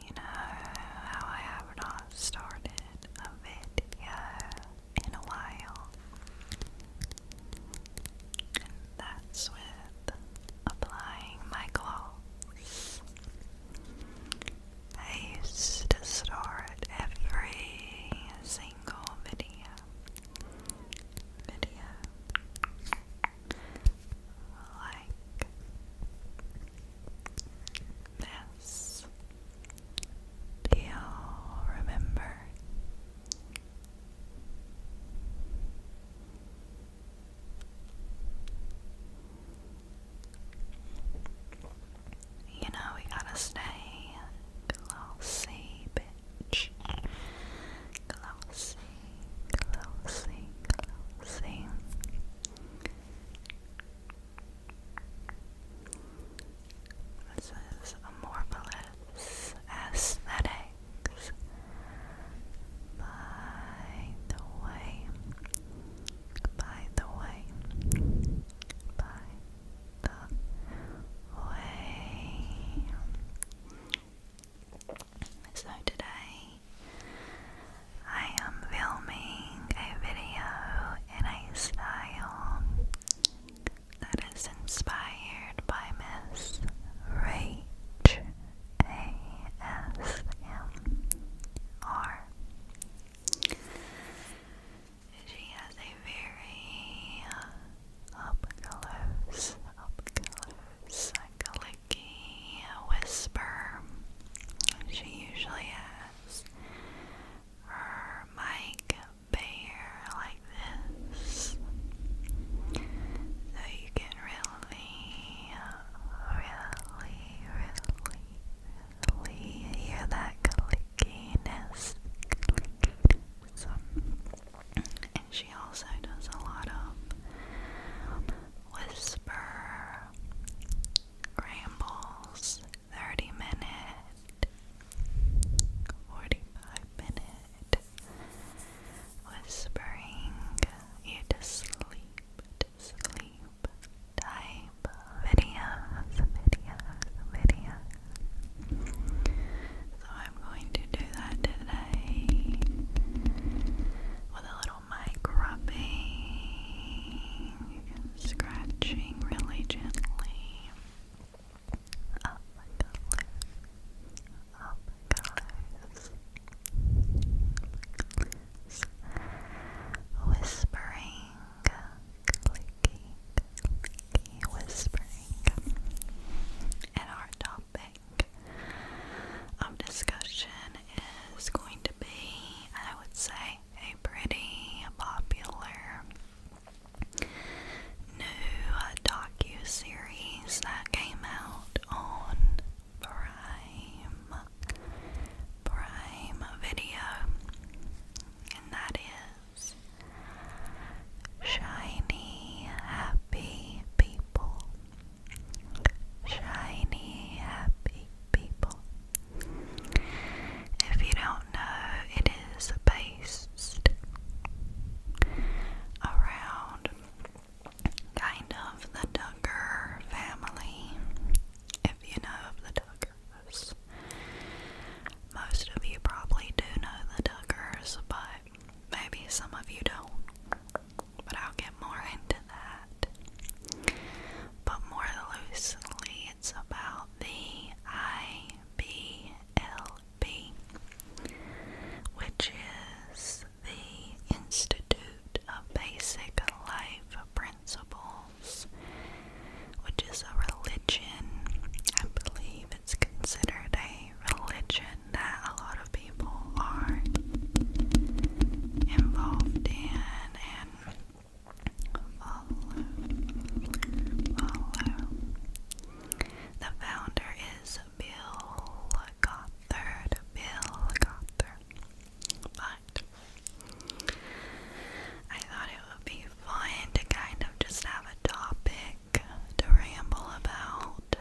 You know how I have not started a video in a while, that's with applying my gloss. I used to start every single video like this. Do you remember? You know, we gotta stay glossy, bitch. Glossy, glossy, glossy. This is Amorphous Aesthetics by the way, by the way, by the way. So today I am filming a video in a style that is inspired by Miss Rach ASMR. She has a very up close, up clicky whisper. She usually has her mic bare like this, so you can really, really, really, really hear that clickiness. And she also does a lot of Whisper Rambles 30 minute 45 minute Whispering you to sleep sleep type videos videos videos so I'm going to do that today with a little my grubbing scratching really gently up my colors, up whispering, clicky, clicky, whispering, and our topic of discussion is going to be, I would say, a pretty popular new uh, docu-series that came out on Prime, Prime Video, and that is Shiny Happy People shiny, happy people. If you don't know, it is based around kind of the Tucker family. If you know of the Tuckers, most of you probably do know the Tuckers, but maybe some of you don't but I'll get more into that. But more loosely, it's about the IBLB, which is the Institute of Basic Life Principles, which is a religion. I believe it's considered a religion that a lot of people are involved in the founder is Bill Gothard. Bill Gothard. But I thought it would be fun to kind of just have a topic to ramble about.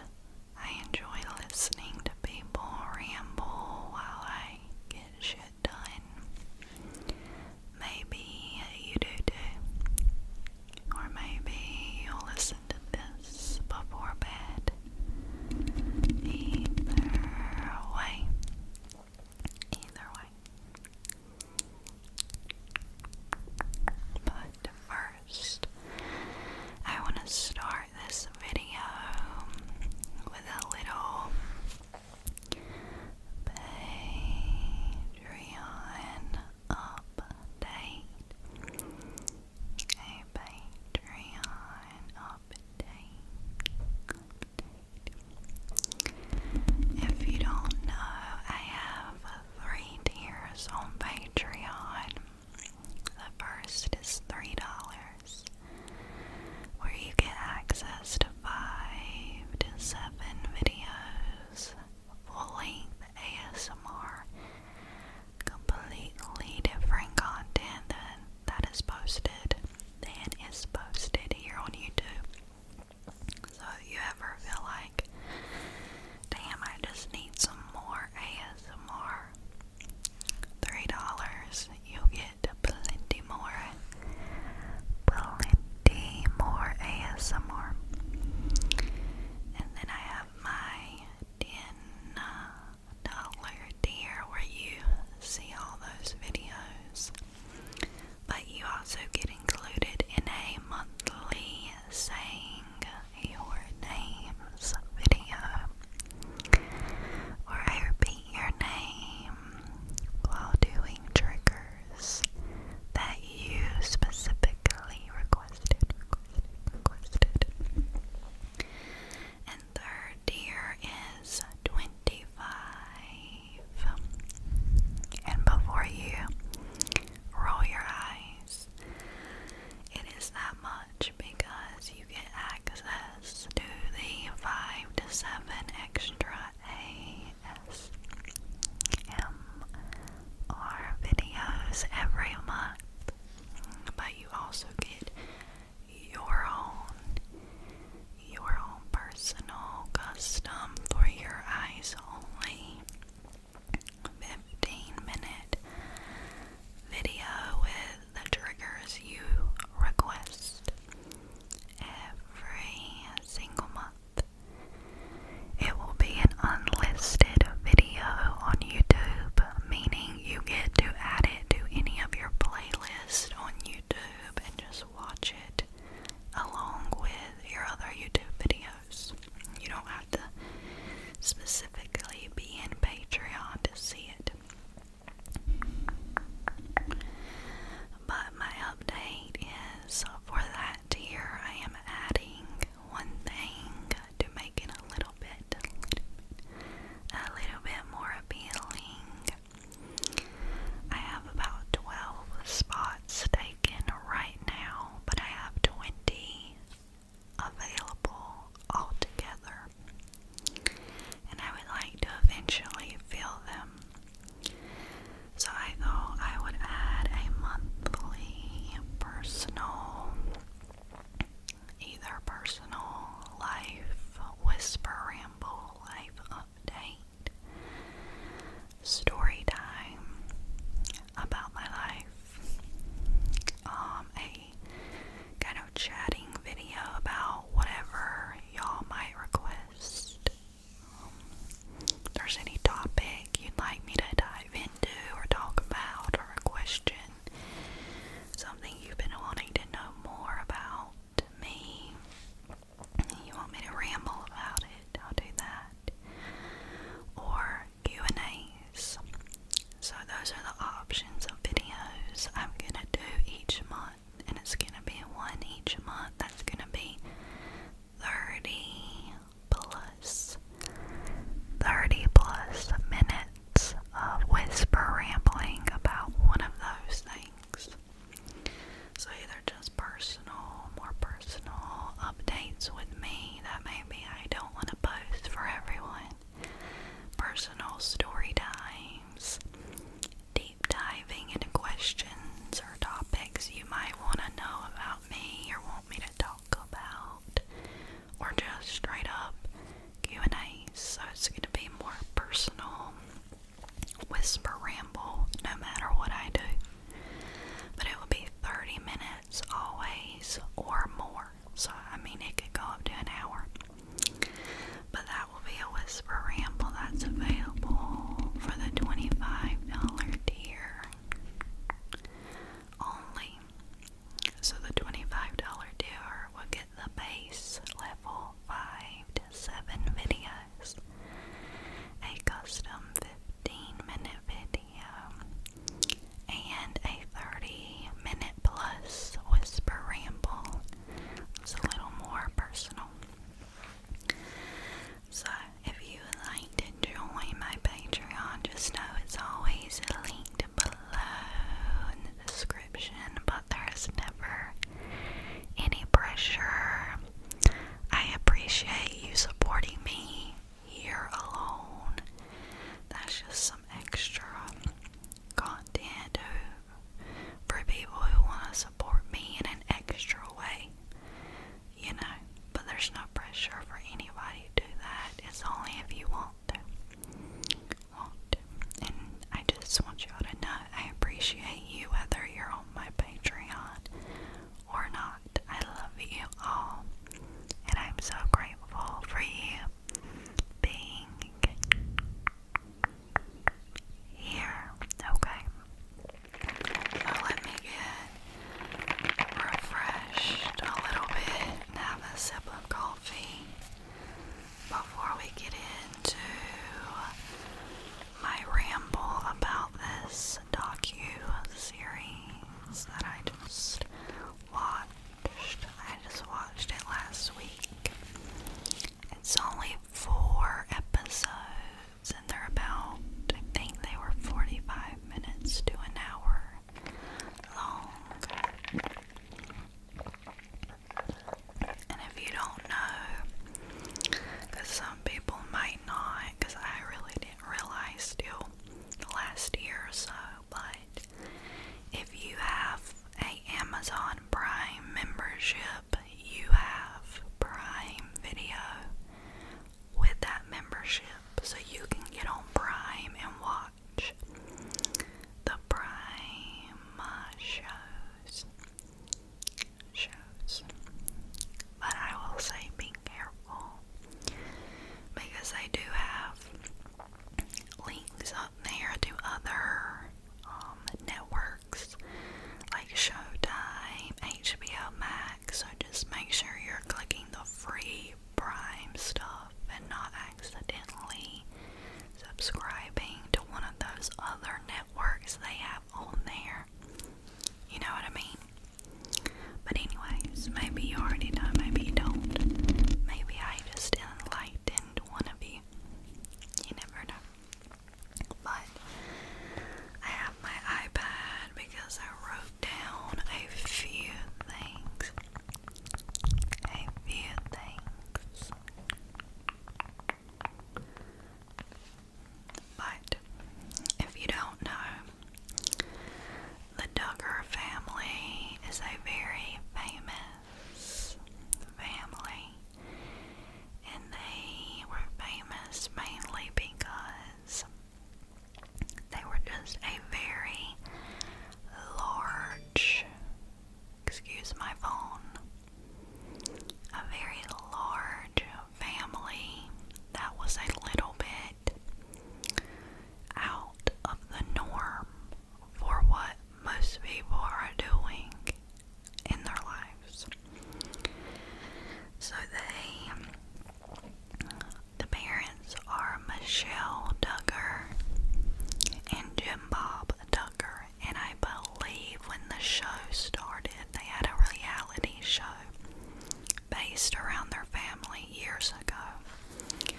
I enjoy listening to people ramble while I get shit done. Maybe you do too. Or maybe you'll listen to this before bed. Either way. Either way. But first, I want to start this video with a little Patreon update. A Patreon update. If you don't know, I have three tiers on Patreon. The first is $3 where you get access to five to seven videos, full length ASMR, completely different content than that is posted, than is posted here on YouTube. So if you ever feel like, damn, I just need some more ASMR. Three dollars, you get plenty more, plenty more ASMR. And then I have my ten dollar tier where you see all those videos, but you also get included in a monthly saying your names video where I repeat your name while doing triggers that you specifically requested, And third tier is 25. And before you roll your eyes, it is that much because you you get access to the 5 to 7 extra ASMR videos every month, but you also get your own, your own personal custom for your eyes only 15 minute video with the triggers you request every single month. It will be an unlisted video on YouTube, meaning you get to add it to any of your playlists on YouTube and just watch it along with your other YouTube videos. You don't have to specifically be in Patreon to see it. But my update is uh, for that tier, I am adding one thing to make it a little bit, a little bit more appealing. I have about 12 spots taken right now, but I have 20 available altogether, and I would like to eventually fill them. So I thought I would add a monthly personal, either personal life whisper ramble life update, story time about my life, um, kind of chatting video about whatever y'all might request. there's any topic you'd like me to dive into or talk about or a question, something you've been wanting to know more about me, you want me to ramble about it, I'll do that. Or Q&As. So those are the options of videos I'm going to do each month, and it's gonna be one each month. That's gonna be 30 plus 30 plus minutes of whisper rambling about one of those things. So, they're just personal, more personal updates with me that maybe I don't want to post for everyone, personal story times, deep diving into questions or topics you might want to know about me or want me to talk about, or just straight up Q&A. So it's going to be more personal, whisper ramble, no matter what I do. But it will be 30 minutes always or more. So, I mean, it could go up to an hour. But that will be a whisper ramble that's available for the $25 tier only. So the $25 tier will get the base level 5 to 7 videos, a custom 15 minute video, and a 30 minute plus whisper ramble it's a little more personal. So, if you like to join my Patreon, just know it's always linked below in the description, but there's never any pressure. I appreciate you supporting me here alone. That's just some extra content for people who want to support me in an extra way. You know, but there's no pressure for anybody to that. It's only if you want to. Want And I just want y'all to know I appreciate you whether you're on my Patreon or not. I love you all. And I'm so grateful for you being here. Okay. So let me get refreshed a little bit and have a sip of coffee before we get into my ramble about this docu series that I just watched. I just watched it last week. It's only four episodes, and they're about, I think they were 45 minutes to an hour long. And if you don't know, because some people might not, because I really didn't realize till last year or so, but if you have a Amazon Prime membership, you have Prime Video with that membership, so you can get on Prime and watch the Prime uh, shows. Shows, but I will say be careful because they do have links up there to other um, networks like Showtime, HBO Max. So just make sure you're clicking the free Prime stuff and not accidentally subscribing to one of those other networks they have on there. You know what I mean? But, anyways, maybe you already know, maybe you don't. Maybe I just enlightened one of you you never know. But I have my iPad because I wrote down a few things. A few things. But if you don't know, the Duggar family is a very famous famous family, and they were famous mainly because they were just a very large, excuse my phone, a very large family that was a little bit out of the norm for what most people are doing in their lives. So they, the parents are Michelle Duggar and Jim Bob Duggar, and I believe when the show started, they had a reality show based around their family years ago.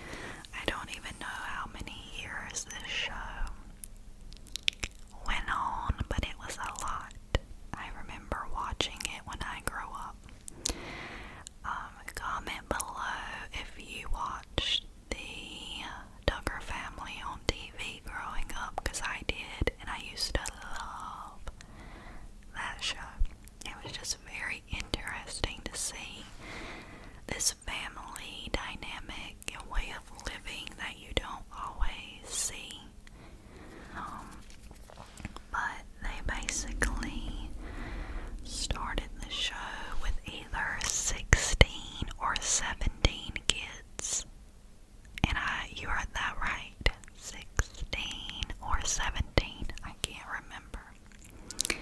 I don't even know how many years this show went on, but it was a lot. I remember watching it when I grew up. Um, comment below if you watched the Tucker family on TV growing up, because I did, and I used to love that show. It was just very interesting to see this family dynamic and way of living that you don't always see. Um, but they basically started the show with either 16 or 17 kids. And I, you are that right. 16 or 17, I can't remember.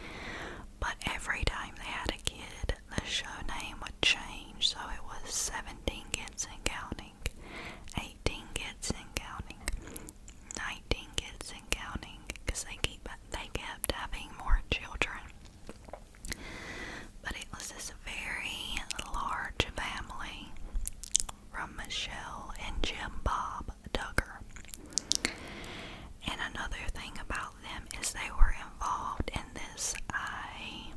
But every time they had a kid, the show name would change, so it was 17 Kids and Counting, 18 Kids and Counting, 19 Kids and Counting, because they, keep, they kept having more children. But it was this very large family from Michelle and Jim Bob Duggar. And another thing about of them is they were involved in this I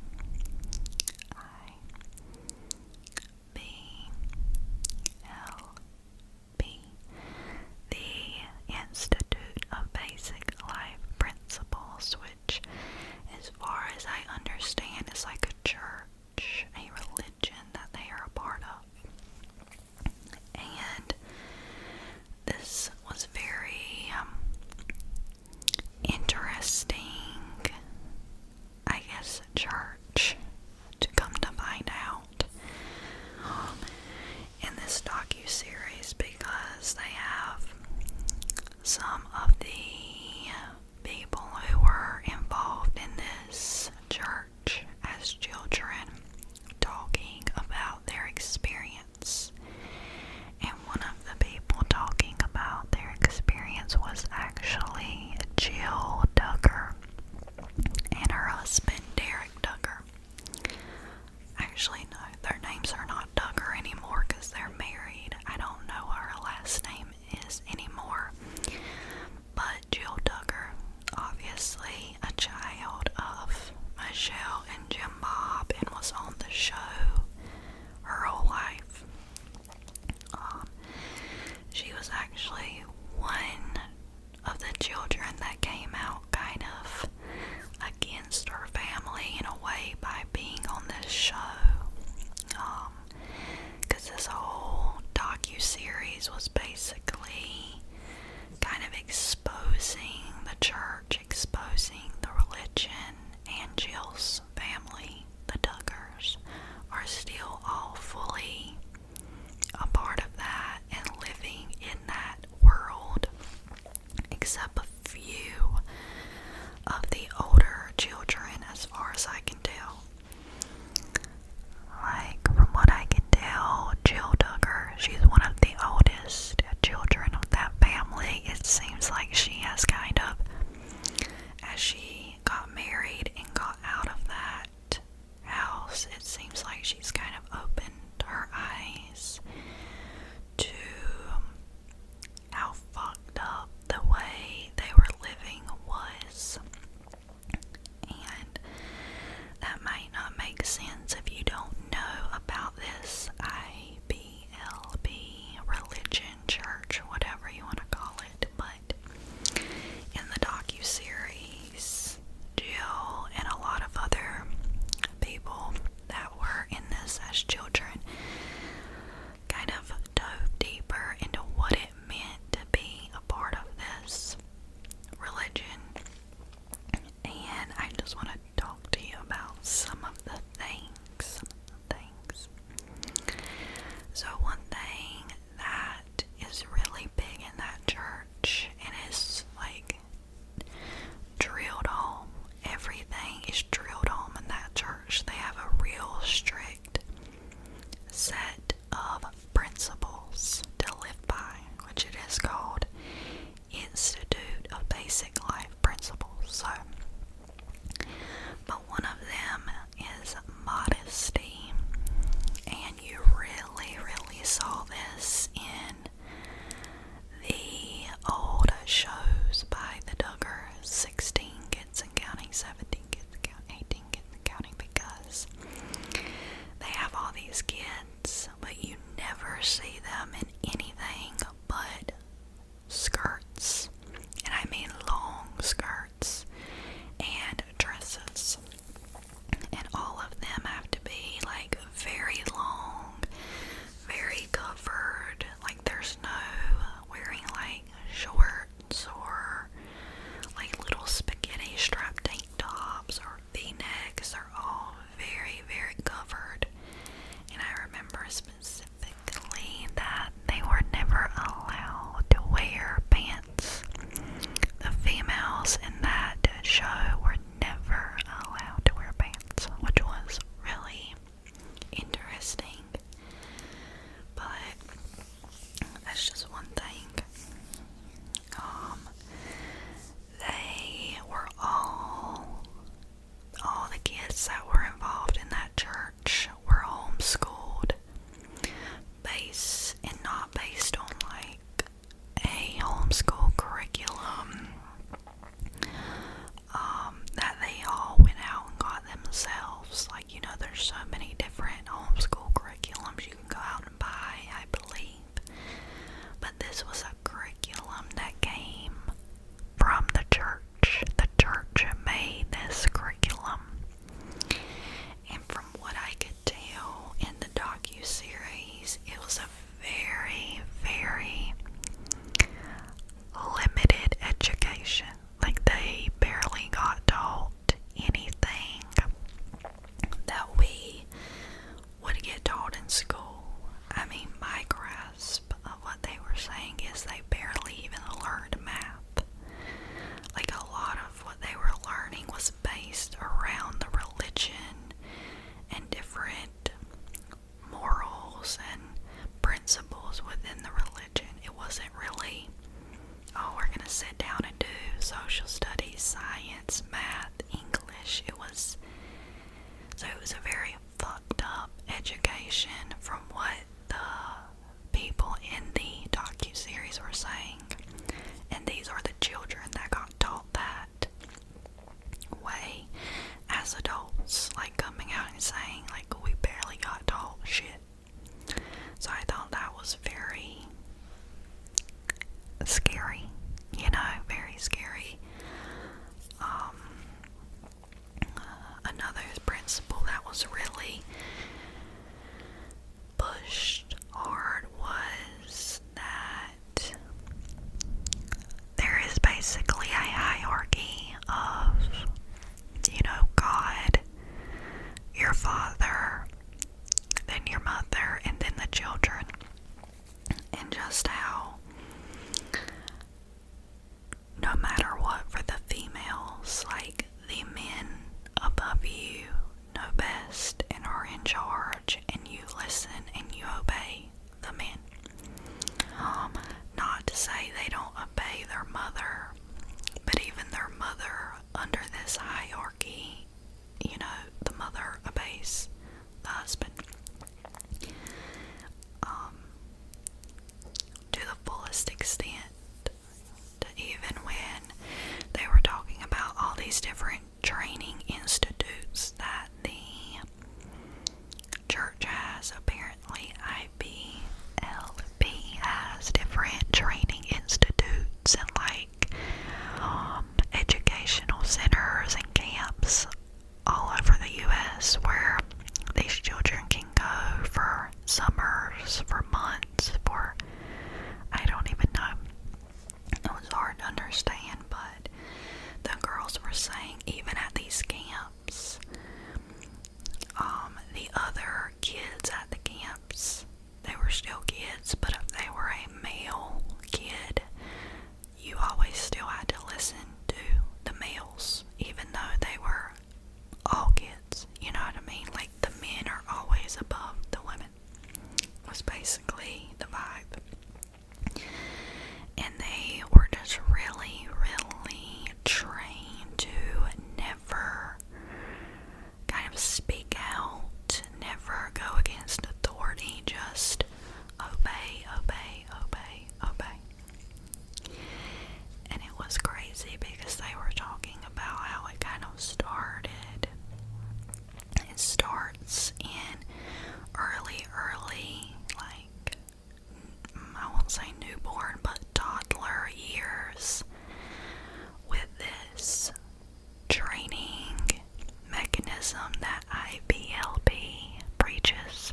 I B L B the Institute of Basic Life Principles, which as far as I understand is like a church, a religion that they are a part of. And this was very um, interesting, I guess, church to come to find out um, in this docu series because they have some of the people who were involved in this church as children talking about their experience and one of the people talking about their experience was actually Jill Ducker and her husband Derek Ducker. Actually, no, their names are not Ducker anymore because they're married. I don't know her last name is anymore. But Jill Ducker, obviously a child of Michelle and Jim Bob and was on the show her whole life. Um, she was actually one of the children that came out kind of against her family in a way by being on this show. Um, because this whole docu-series was basically kind of exposing the church exposing the religion and Jill's family, the Duggars, are still all fully a part of that and living in that world, except a few of the older children, as far as I can tell. Like, from what I can tell, Jill Duggar, she's one of the oldest children of that family, it seems like she has kind of, as she got married and got out of that house, it seems like she's kind of opened her eyes to um, how fucked up the way they were living was. And that might not make sense if you don't know about this IB BLB religion, church, whatever you want to call it. But in the docu series, Jill and a lot of other people that were in this as children kind of dove deeper into what it meant to be a part of this religion and I just want to talk to you about some of the things. Some of the things. So one thing that is really big in that church, and it's like drilled home. Everything is drilled home in that church. They have a real strict set of principles to live by, which it is called Institute of Basic Life Principles. So, but one of them is modesty, and you really, really saw this in the old shows by the Duggar 16 Kids and Counting, 17 Kids and Counting, 18 Kids and Counting because they have all these kids pants, but you never see them in anything but skirts. And I mean long skirts and dresses. And all of them have to be like very long, very covered. Like there's no wearing like shorts or like little spaghetti strap tank tops or v necks. They're all very, very covered. And I remember specifically that they were never allowed to wear pants. The females in that show were never allowed to wear pants, which was really interesting. But that's just one thing. Um, they were all all the kids that were involved in that church were homeschooled based and not based on like a homeschool curriculum um, that they all went out and got themselves. Like, you know, there's so many different homeschool curriculums you can go out and buy, I believe. But this was a curriculum that came from the church. The church made this curriculum. And from what I could tell in the docu series, it was a very, very limited education. Like they barely got taught anything that we would get taught in school. I mean, my grasp of what they were saying is they barely even learned math. Like, a lot of what they were learning was based around the religion and different morals and principles within the religion. It wasn't really, oh, we're going to sit down and do social studies, science, math, English. It was, so it was a very fucked up education from what the people in the docu-series were saying and these are the children that got taught that way as adults like coming out and saying like we barely got taught shit so i thought that was very scary you know very scary um, another principle that was really pushed hard was that there is basically a hierarchy of, you know, God, your father, then your mother, and then the children and just how no matter what for the females, like the men above you know best and are in charge, and you listen and you obey the men. Um, not to say they don't obey their mother, but even their mother under this hierarchy, you know, the mother obeys the husband, um, to the fullest extent. To even when they were talking about all these different training institutes that the church has, apparently IBLB has different training institutes and like um, educational centers and camps all over the US where these children can go for summers, for months, for I don't even know. It was hard to understand, but the girls were saying, even at these camps, um, the other kids at the camps, they were still kids, but if they were a male kid, you always still had to listen to the males, even though they were all kids. You know what I mean? Like the men are always above the women. Was basically the vibe, and they were just really, really trained to never kind of speak out, never go against authority, just obey, obey, obey, obey. And it was crazy because they were talking about how it kind of started. It starts in early, early, like I won't say newborn, but toddler years with this training mechanism that IBLP preaches.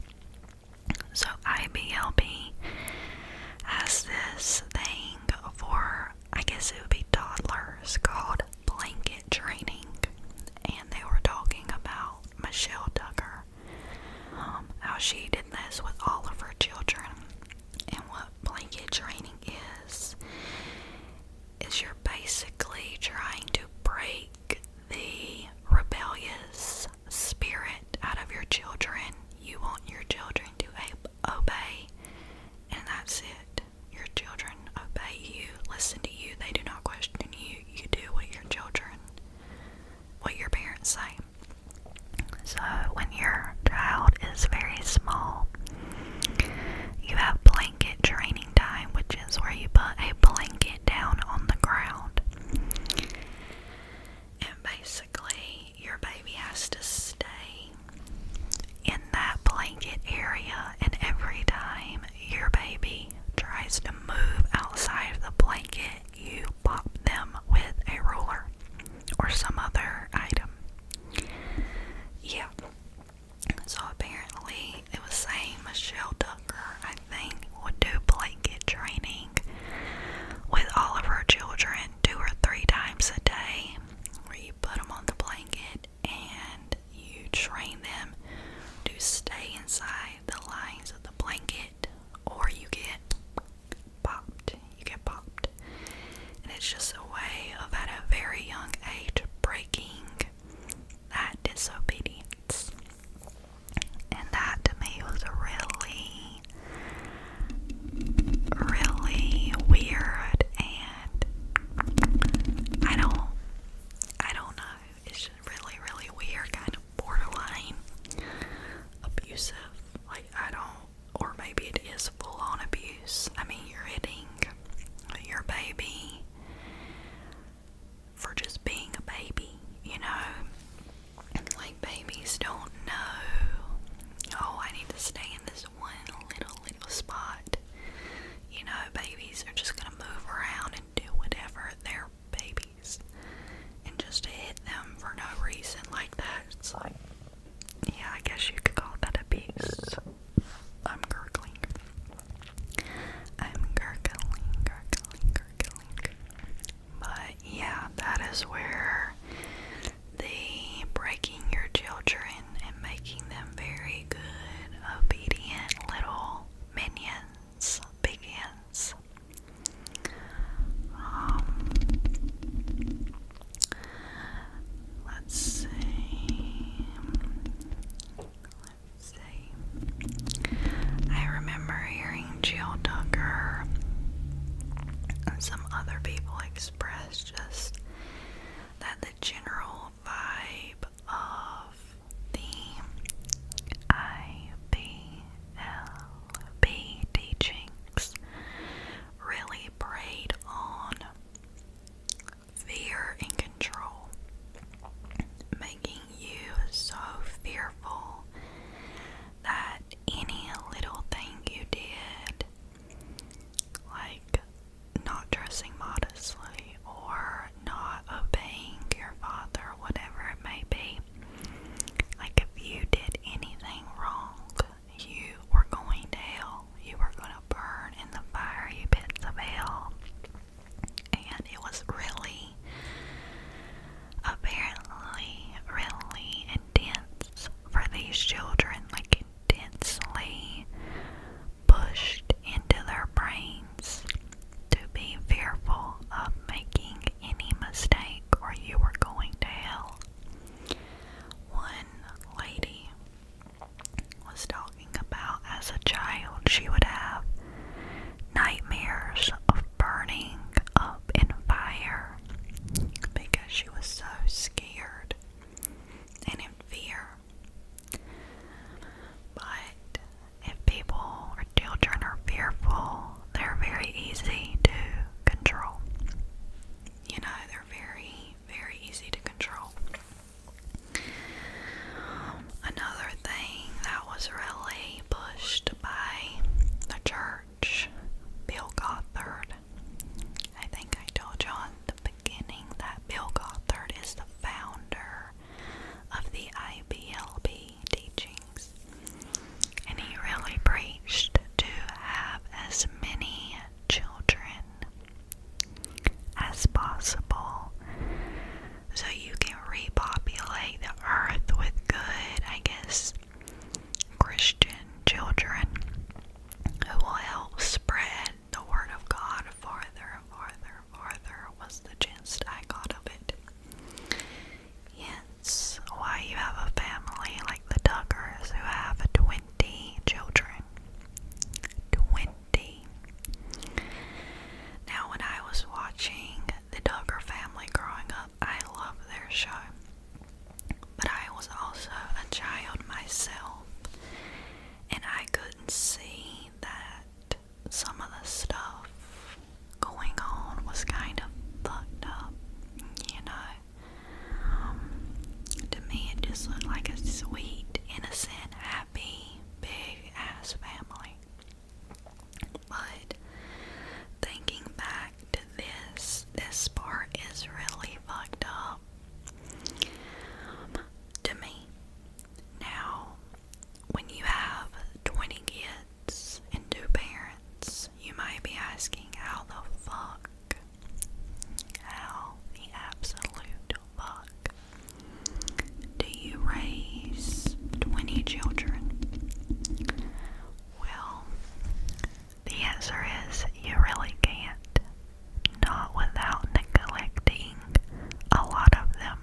So, IBLP has this thing for, I guess it would be toddlers, called blanket training. And they were talking about Michelle Tucker, um, how she did this with all of her children. And what blanket training is, is you're basically trying to break the rebellious spirit out of your children. You want your children to obey, and that's it. Your children obey you, listen to you, they do not question you. You do what your children, what your parents say. So, when your child is very small, you have blanket training time, which is where you put a blanket down on the ground. And basically, your baby has to stay in that blanket area, and every time your baby tries to move outside of the blanket, you pop them with a roller or some other item. Yeah. So apparently, it was saying Michelle Tucker, I think, would do blanket training with all of her children two or three times a day, where you put them on the blanket and you train them to stay inside the lines of the blanket, or you get popped. You get popped. And it's just a way of, at a very young age, breaking that disobedience. And that to me was really, really weird. And I don't, I don't know. It's just really, really weird, kind of borderline abusive. Like I don't, or maybe it is full-on abuse. I mean, you're hitting your baby for just being a baby, you know? Like, babies don't know, oh, I need to stay in this one little, little spot. You know, babies are just gonna move around and do whatever. They're babies. And just hit them for no reason like that, it's like, yeah, I guess you could call that abuse. I'm gurgling. I'm gurgling, gurgling, gurgling. But yeah, that is where the breaking your children and making them very good, obedient little minions begins. Um, let's see let I remember hearing Jill Tucker and some other people express just that the general vibe of the IBLB teachings really preyed on fear and control, making you so fearful that any little thing you did, like not dressing modestly or not obeying your father, whatever it may be, like if you did anything wrong, you were going to hell. You were going to burn in the fire, you pits of hell and it was really, apparently, really intense for these children, like intensely pushed into their brains to be fearful of making any mistake or you were going to hell. One lady was talking about as a child, she would have nightmares of burning up in fire because she was so scared and in fear. But if people or children are fearful, they're very easy to control. You know, they're very, very easy to control another thing that was really pushed by the church, Bill Gothard. I think I told John the beginning that Bill Gothard is the founder of the IBLB teachings, and he really preached to have as many children as possible so you can repopulate the earth with good, I guess, Christian children who will help spread the Word of God farther and farther farther, was the gist I got of it. Hence, why you have a family like the Tuckers who have 20 children. 20 now, when I was watching the Duggar family growing up, I loved their show. But I was also a child myself, and I couldn't see that some of the stuff going on was kind of fucked up, you know. Um, to me, it just looked like a sweet, innocent, happy, big ass family. But thinking back to this, this part is really fucked up to me. Now, when you have 20 kids and two parents, you might be asking how the fuck, how the absolute fuck do you raise 20 children? Well, the answer is you really can't. Not without neglecting a lot of them.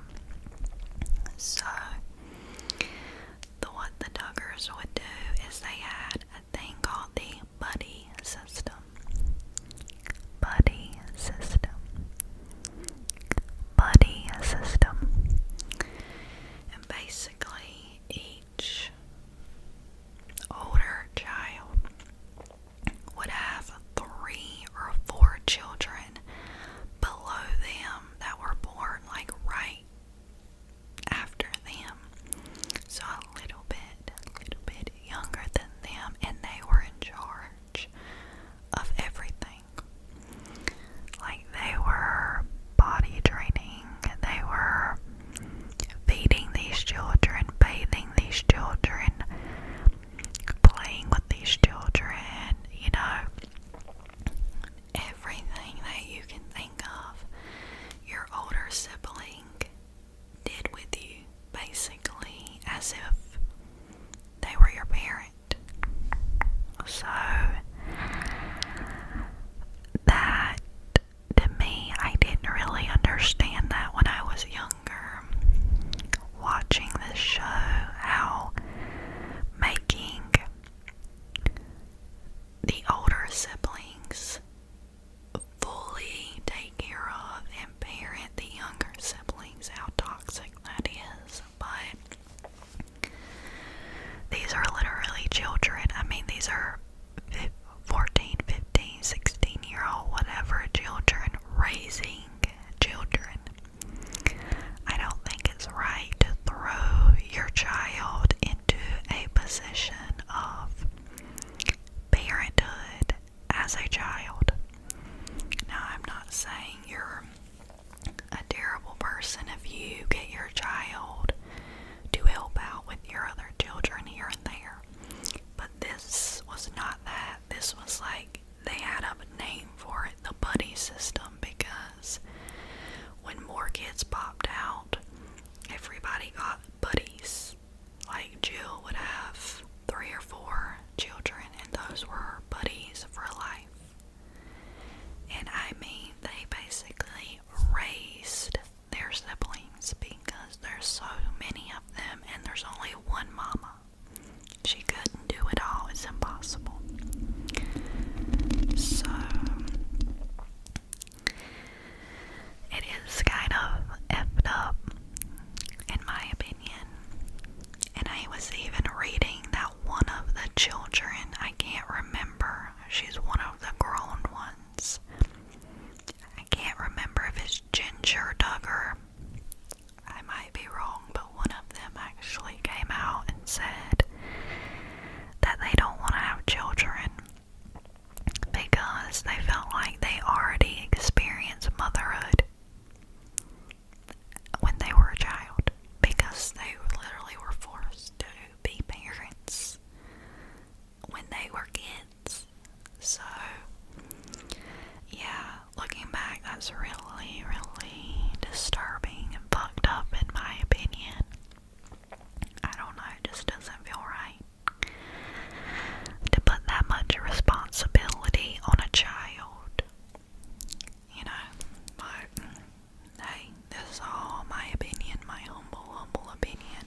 So, what the Duggars would do is they had a thing called the buddy system. Buddy system buddy system. And basically, each older child would have three or four children below them that were born like right after them. So a little bit, a little bit younger than them, and they were in charge of everything everything. Like they were body training, they were feeding these children, bathing these children, playing with these children, you know, everything that you can think of. Your older sibling did with you basically as if they were your parent. So that to me, I didn't really understand that when I was younger. Watching this show, how making the older siblings fully take care of and parent the younger siblings, how toxic that is but these are literally children. I mean, these are 14, 15, 16 year old, whatever children raising children. I don't think it's right to throw your child into a position of parenthood as a child. Now, I'm not saying you're a terrible person if you get your child to help out with your other children here and there. But this was not that. This was like they had a name for it, the buddy system, because when more kids popped out, everybody got buddies. Like Jill would have three or four children, and those were buddies for life. And I mean, they basically raised their siblings because there's so many of them and there's only one mama. She couldn't do it all, it's impossible. So, it is kind of effed up, in my opinion. And I was even reading that one of the children, I can't remember, she's one of the grown ones. I can't remember if it's Ginger Duggar. I might be wrong, but one of them actually came out and said that they don't want to have children because they felt like they already experienced motherhood when they were a child because they literally were forced to be parents when they were kids. So, yeah, looking back, that's really, really disturbing and fucked up, in my opinion. I don't know, it just doesn't feel right to put that much responsibility on a child you know, but hey, this is all my opinion, my humble, humble opinion.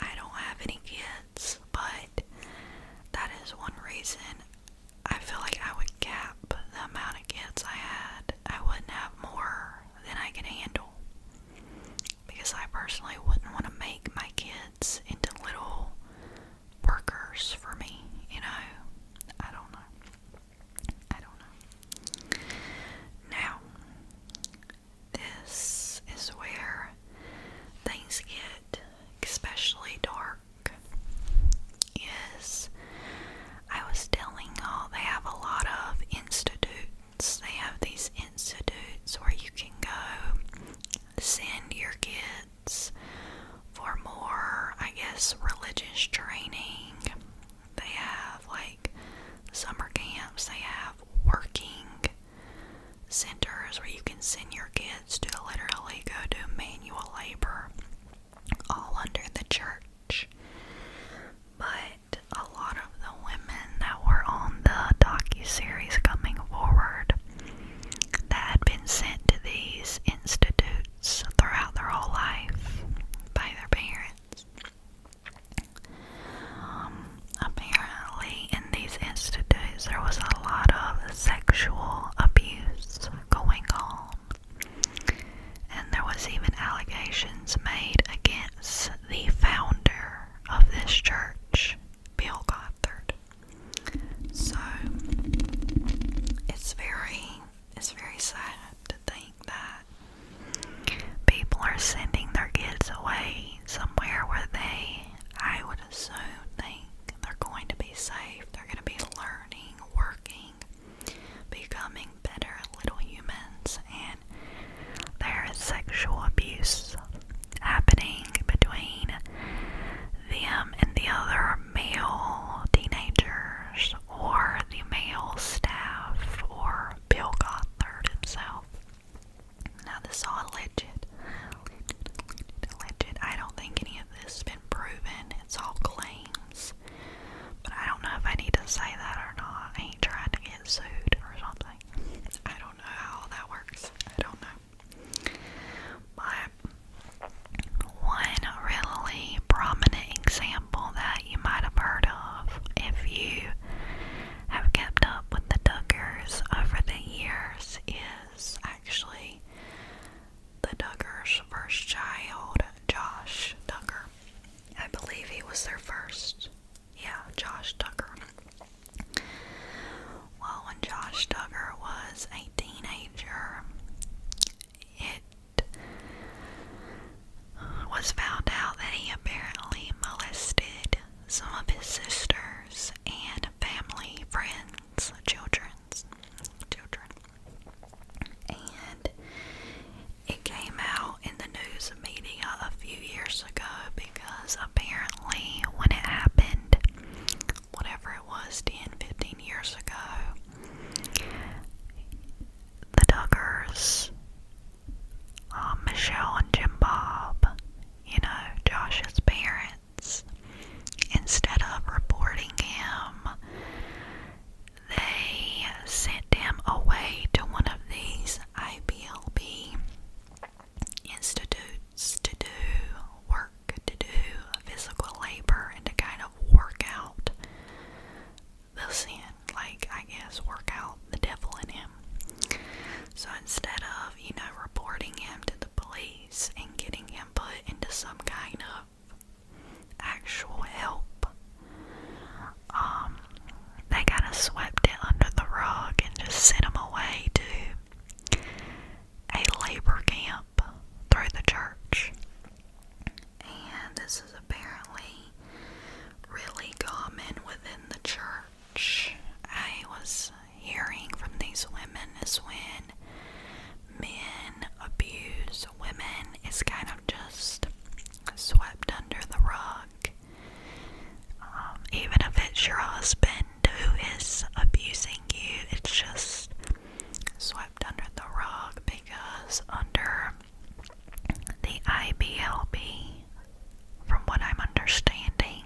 I don't have any kids, but that is one reason I feel like I would cap the amount of kids I had. I wouldn't have more than I can handle. Because I personally wouldn't want to make my kids into little workers for me, you know. I don't know. I don't know. Now, this is where things get especially dark. Is I was telling y'all they have a lot of institutes. They have these institutes where you can go send your kids Methods for more, I guess, religious training. They have like summer camps, they have working centers where you can send your kids to literally go do manual labor, all under the church. But a lot of the women that were on the docu-series coming forward that had been sent to these institutes parents throughout their whole life by their parents. Um, apparently, in these institutes, there was a lot of sexual abuse going on, and there was even allegations made against the founder of this church, Bill Gothard. So it's very it's very sad to think that people are sending their kids away somewhere where they, I would assume, think they're going to be safe, they're going to be learning, working, becoming better little humans, and there is sexual abuse happening between them and the other male teenagers or the male staff or Bill Gothard himself. Now, this all alleged. Alleged, I don't think any of this has been proven. It's all claims. But I don't know if I need to say that or not. I ain't trying to get sued or something. I don't know how that works. I don't know. But one really prominent example that you might have heard of if you have kept up with the Duggars over the years is actually the Duggars' first child, Josh Duggar. I believe he was their first. Yeah, Josh Duggar. Well, when Josh Duggar was a teenager, it uh, was found out that he apparently molested some of his sisters and family, friends, children's children. And it came out in the news media a few years ago because apparently when it happened whatever it was 10 15 years ago the Duggars um, Michelle and Jim Bob you know Josh's parents instead of reporting him they sent him away to one of these IBLB institutes to do work to do physical labor and to kind of work out the sin, like I guess work out the devil in him. So instead of, you know, reporting him to the police and getting him put into some kind of actual help, um, they kind of swept it under the rug and just sent him away to a labor camp through the church. And this is apparently really common within the church. I was hearing from these women is when men abuse women, it's kind of just swept under the rug. Um, even if it's your husband who is abusing you, it's just swept under the rug because under the IBLB, from what I'm understanding,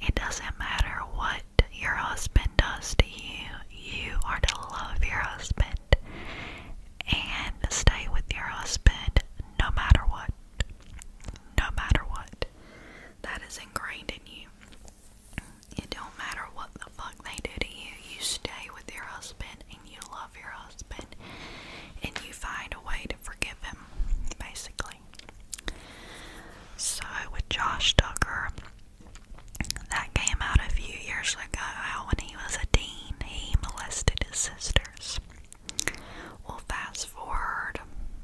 it doesn't matter what your husband does to you, you are to love your husband and stay with your husband no matter what. No matter what. That is ingrained in you. It don't matter what the fuck they do to you. You stay with your husband and you love your husband and you find a way to forgive him, basically. So, with Josh Tucker, that came out a few years ago when he was a dean. He molested his sisters. Well, fast forward,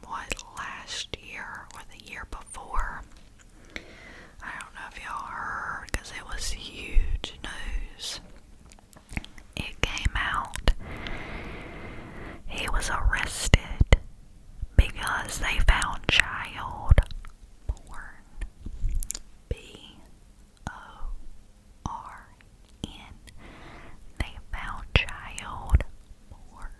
what, last year or the year before, I don't know if y'all heard because it was huge news. It came out. He was arrested because they found child porn. B O R N. They found child porn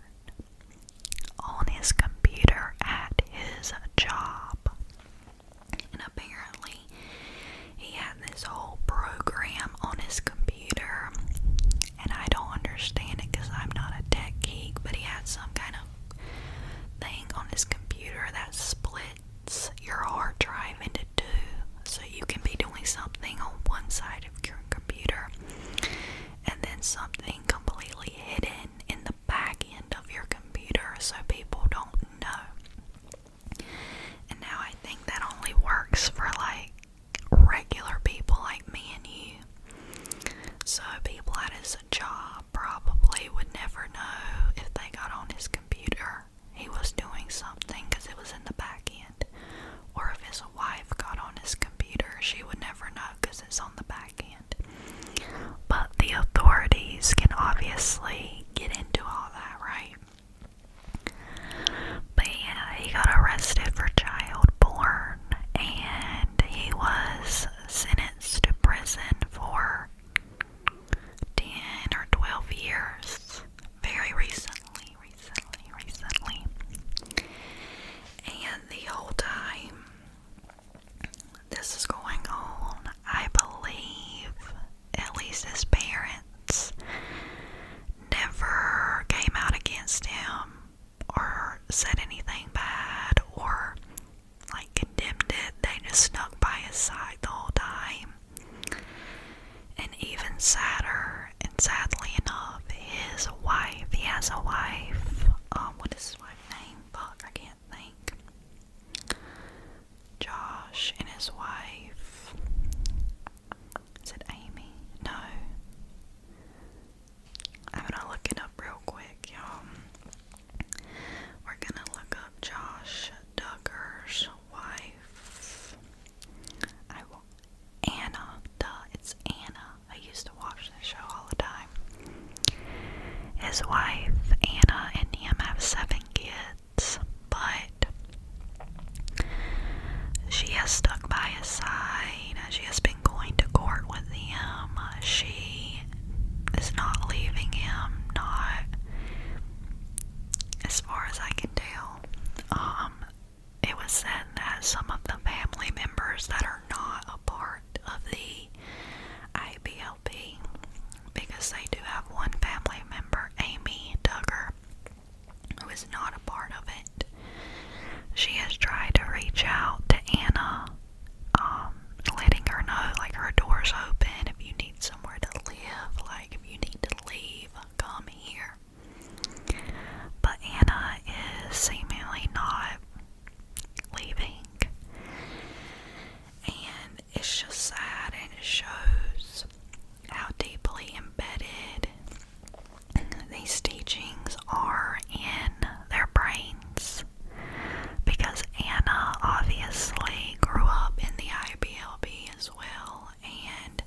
on his computer at his job. And apparently, he had this whole program on his computer, and I don't understand it because I'm not a tech geek, but he had some kind of thing on his computer that splits your hard drive into two. So you can be doing something on one side of your computer and then something completely hidden in the the back end of your computer so people don't know. And now I think that only works for like regular people like me and you. So people at his job probably would never know if they got on his computer he was doing something because it was in the back end. Or if his wife got on his computer, she would never know because it's on the back but the authorities can obviously get into all that, right? But yeah, he got arrested for child porn and he was sentenced to prison for 10 or 12 years very recently, recently, recently. And the whole time this is going on, I believe, at least his parents never came out against him or said anything bad or like condemned it. They just snuck by his side the whole time. And even sadder, and sadly enough, his wife, he has a wife. Um, what is his wife's name? Fuck, I can't think. Josh and his wife. Is it Amy? No. I'm gonna look it up real quick, y'all. We're gonna look up Josh Duggar's wife. I will Anna. Duh, it's Anna. I used to watch this show all the time. His wife, Anna, and him have seven kids, but she has stuck by his side. She has been going to court with him. She is not leaving him, not as far as I can tell. Um, it was said that some of the family members that are not apart of the ABLP because they do have one family member, Amy Duggar, who is not a part of it. She has tried to reach out to Anna, um, letting her know like her door's open if you need somewhere to live, like if you need to leave, come here. But Anna is seemingly not leaving. And it's just sad and it shows how deeply embedded these teachings are in their brains. Because Anna obviously grew up in the IBLB as well, and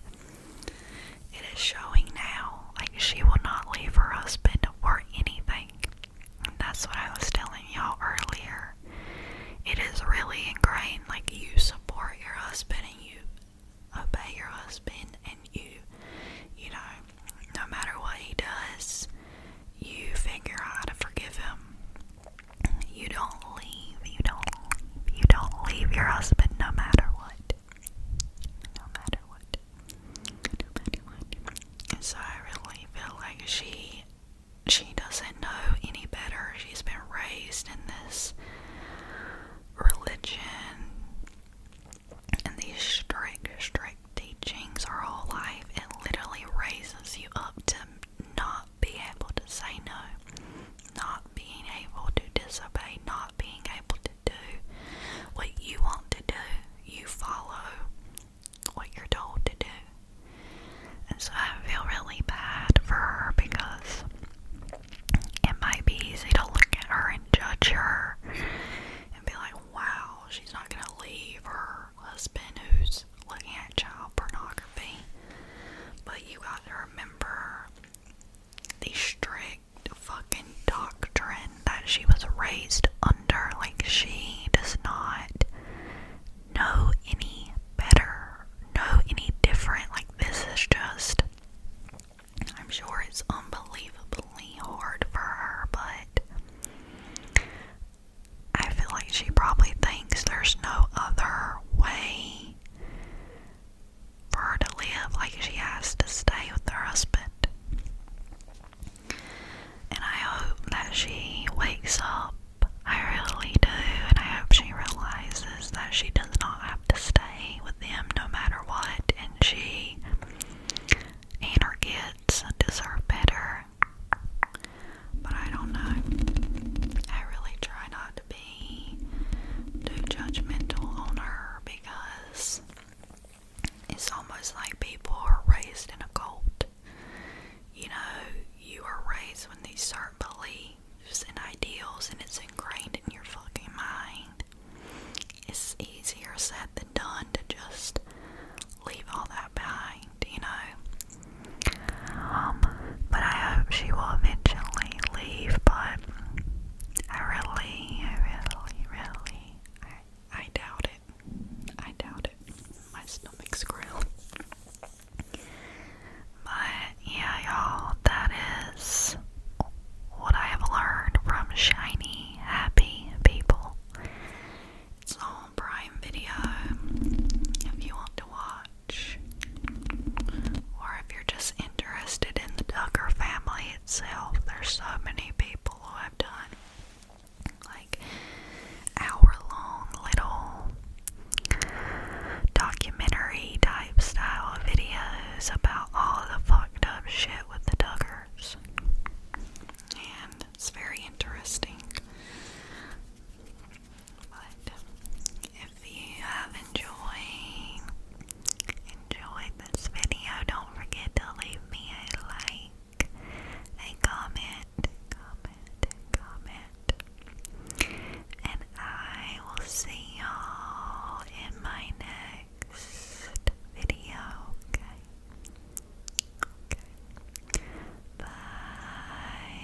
it is showing now like she will not leave her husband or anything. That's what I was telling y'all earlier. It is really ingrained, like you support your husband and you obey your husband and you you know, no matter what he does, you figure out how to forgive him. You don't leave, you don't you don't leave your husband no matter what. No matter what. And so I really feel like she she doesn't know any better. She's been raised in this religion and these strict, strict teachings are all life. It literally raises you up to not be able to say no, not being able to disobey, not being able to do what you want to do. You follow what you're told to do. And so I feel really bad for her because it might be easy to look at her and judge her and be like, wow, she's not going to leave her husband who's looking at child pornography. But you got to remember the strict fucking doctrine that she was raised under. Like, she does not know any better, know any different. Like, this is just, I'm sure it's unbelievably hard for her, but I feel like she probably thinks there's no other way for her to live. Like, she has to stay with her husband. And I hope that she wakes up. I really do, and I hope she realizes that she does not have to stay with them no matter what, and she and her kids deserve better. But I don't know. I really try not to be too judgmental on her because it's almost like people are raised in a cult. You know, you are raised with these certain beliefs and ideals, and it's ingrained in your fucking mind. It's easier said than done to just leave all that behind, you know. Um, but I hope she will eventually leave. But I really, I really, really, I, I doubt it. I doubt it. My stomach's growling. But yeah, y'all, that is what I have learned from shiny, happy people. It's all Prime Video if you want to watch, or if you're just interested in the Tucker family itself. There's so many people who have done like hour long little documentary type style videos about all the fucked up shit with the Duggars. And it's very interesting. But if you have enjoyed enjoyed this video, don't forget to leave me a like a comment, comment, comment. And I will see y'all in my next video, Okay. Bye.